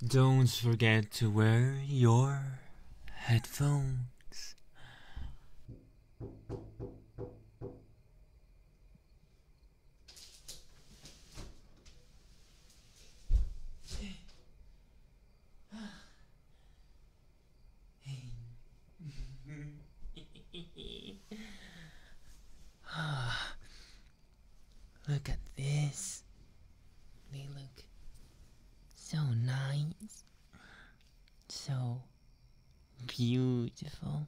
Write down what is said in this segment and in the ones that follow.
Don't forget to wear your headphones. Look at this. They look so nice. So beautiful.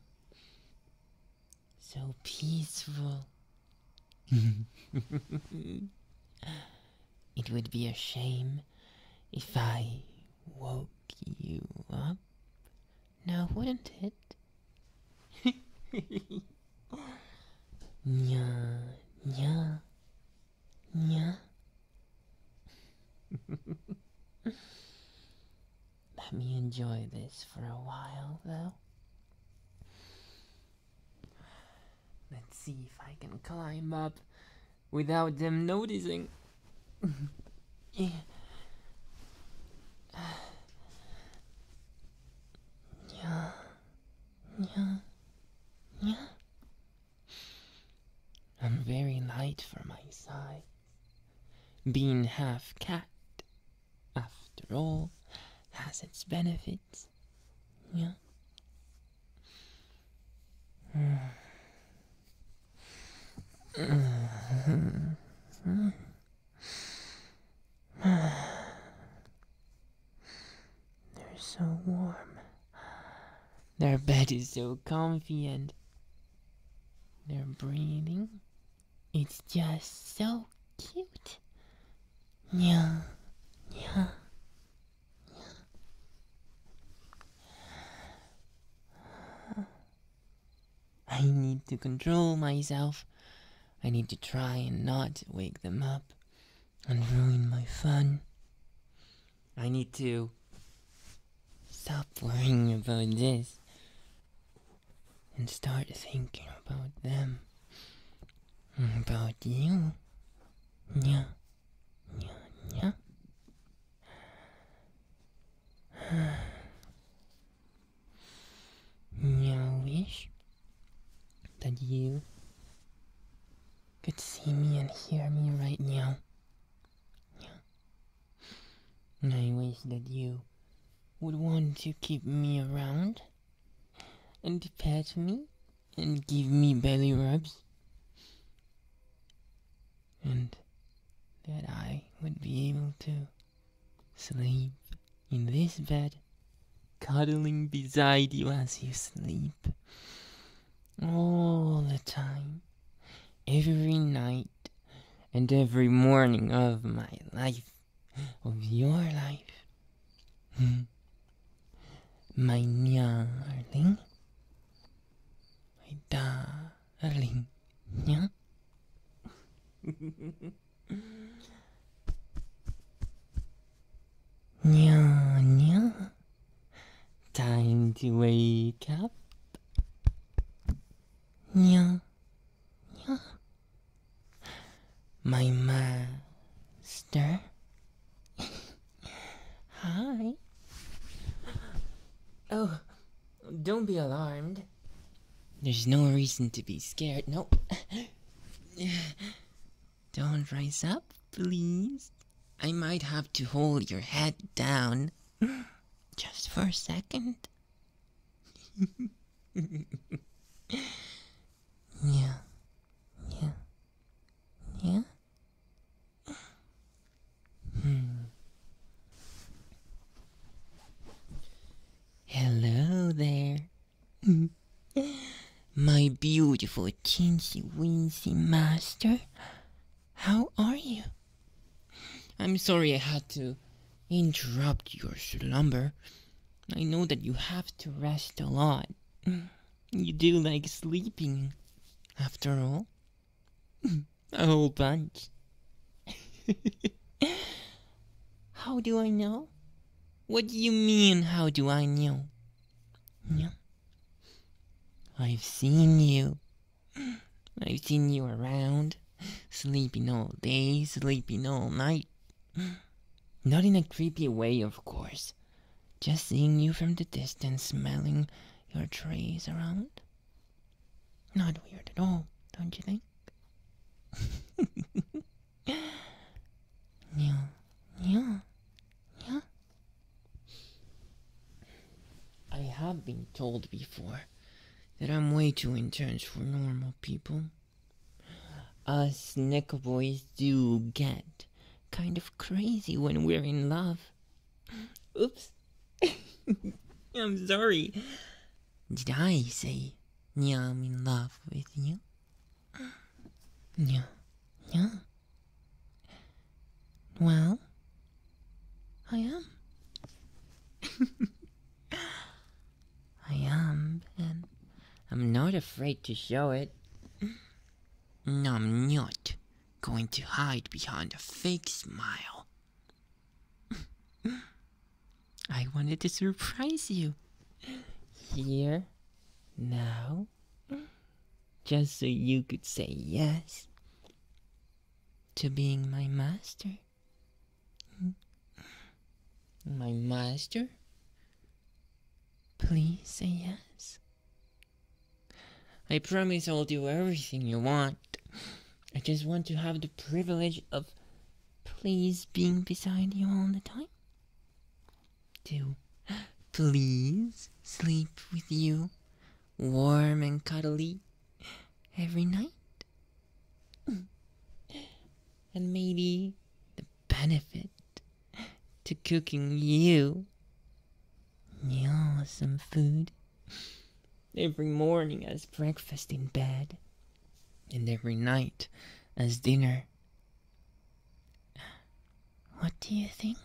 So peaceful. it would be a shame if I woke you up. Now, wouldn't it? Nya, nya, nya. Let me enjoy this for a while, though. Let's see if I can climb up without them noticing. Yeah. Yeah. Yeah. I'm very light for my size. Being half cat, after all, has its benefits. Yeah. They're so warm. Their bed is so comfy and their breathing. It's just so cute. Yeah, yeah. yeah. I need to control myself. I need to try and not wake them up and ruin my fun. I need to stop worrying about this and start thinking about them. About you. Yeah. Yeah, yeah. I wish that you could see me and hear me right now. I wish that you would want to keep me around and pet me and give me belly rubs. And that I would be able to Sleep in this bed, cuddling beside you as you sleep. All the time, every night, and every morning of my life, of your life. my darling, my darling. Erling, nie? Nya, nya. Time to wake up. Nya, nya. My master. Hi. Oh, don't be alarmed. There's no reason to be scared. No. Don't rise up, please. I might have to hold your head down just for a second. yeah. Yeah. Yeah. Hmm. Hello there. My beautiful teensy weensy master. How are you? I'm sorry I had to interrupt your slumber. I know that you have to rest a lot. You do like sleeping, after all a whole bunch. how do I know? What do you mean, how do I know? I've seen you. I've seen you around, sleeping all day, sleeping all night. Not in a creepy way, of course. Just seeing you from the distance, smelling your trees around. Not weird at all, don't you think? yeah, yeah, yeah. I have been told before that I'm way too intense for normal people. Us neck boys do get kind of crazy when we're in love. Oops. I'm sorry. Did I say yeah, I'm in love with you? Yeah, yeah. Well, I am. I am, and I'm not afraid to show it. No, I'm not going to hide behind a fake smile. I wanted to surprise you. Here, now, just so you could say yes to being my master. My master? Please say yes. I promise I'll do everything you want. I just want to have the privilege of please being beside you all the time. To please sleep with you, warm and cuddly, every night. And maybe the benefit to cooking you yeah, some food. Every morning as breakfast in bed, and every night as dinner. What do you think?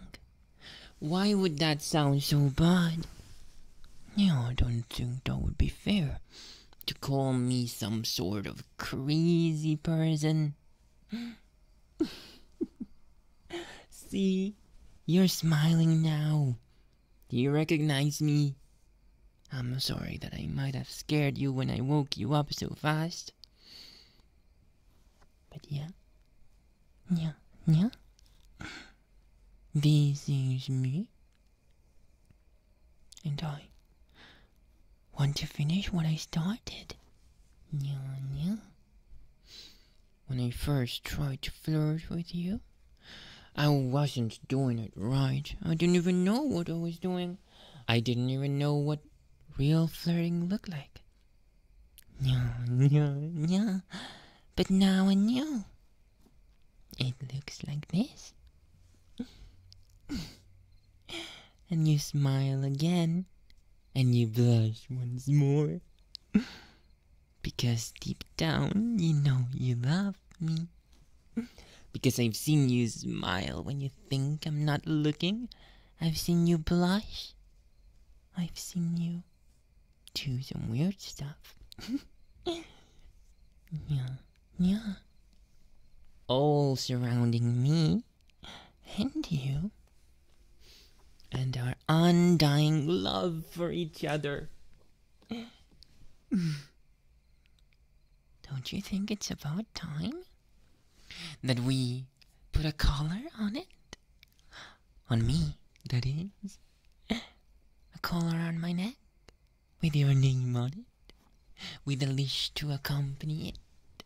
Why would that sound so bad? No, I don't think that would be fair to call me some sort of crazy person. See, you're smiling now. Do you recognize me? I'm sorry that I might have scared you when I woke you up so fast. But yeah. Yeah, yeah. This is me. And I want to finish what I started. Yeah, yeah. When I first tried to flirt with you, I wasn't doing it right. I didn't even know what I was doing. I didn't even know what real flirting looked like. No, no, no. But now I know. It looks like this. and you smile again and you blush once more. because deep down, you know you love me. Because I've seen you smile when you think I'm not looking. I've seen you blush. I've seen you do some weird stuff. yeah, yeah. All surrounding me and you and our undying love for each other. Don't you think it's about time that we put a collar on it? On me, that is. A collar on my neck with your name on it, with a leash to accompany it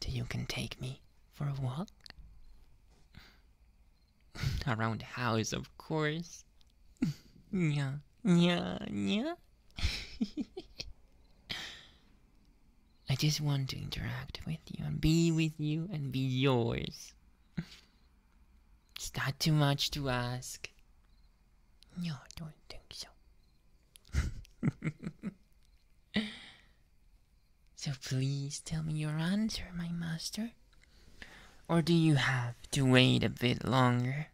till you can take me for a walk? Around the house, of course. yeah, yeah, yeah. I just want to interact with you and be with you and be yours. It's not too much to ask. No, I don't think so. so please tell me your answer, my master. Or do you have to wait a bit longer?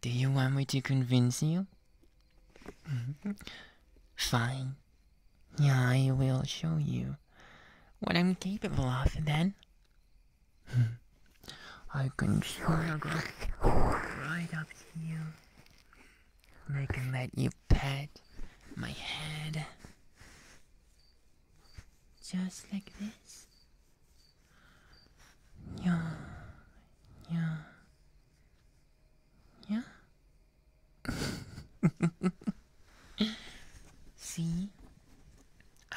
Do you want me to convince you? Fine. Yeah, I will show you what I'm capable of then. I can show you right up you. I can let you pet my head. Just like this. Yeah. Yeah. Yeah. See?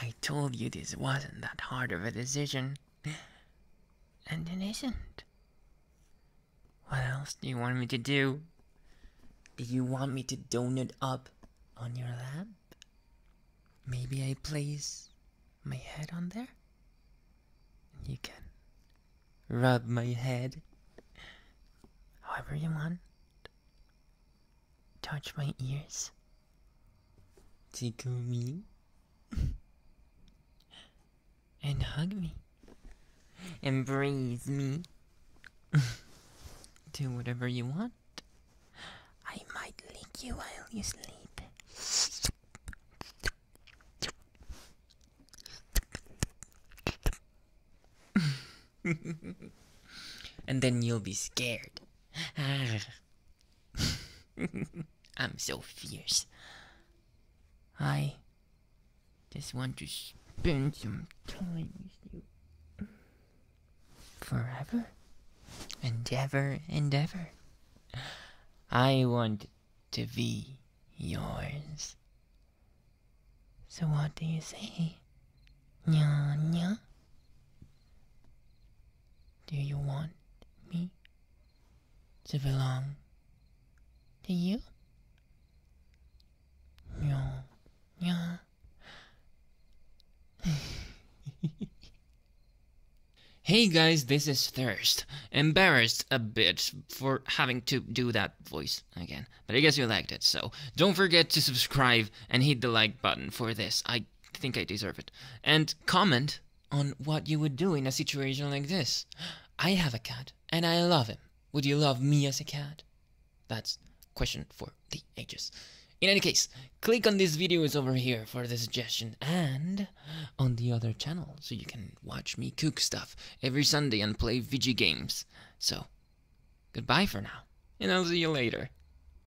I told you this wasn't that hard of a decision. And it isn't. What else do you want me to do? Do you want me to donut up on your lap? Maybe I place my head on there? You can rub my head however you want. Touch my ears. Tickle me. and hug me, embrace me, do whatever you want. I might lick you while you sleep. and then you'll be scared. I'm so fierce. I just want to spend some time with you. Forever and ever and ever. I want to be yours. So what do you say? Nya nya? Do you want me to belong to you? No. Yeah. hey guys, this is Thirst. Embarrassed a bit for having to do that voice again, but I guess you liked it, so don't forget to subscribe and hit the like button for this. I think I deserve it. And comment on what you would do in a situation like this. I have a cat and I love him. Would you love me as a cat? That's question for the ages. In any case, click on these videos over here for the suggestion and on the other channel so you can watch me cook stuff every Sunday and play VG games. So, goodbye for now, and I'll see you later.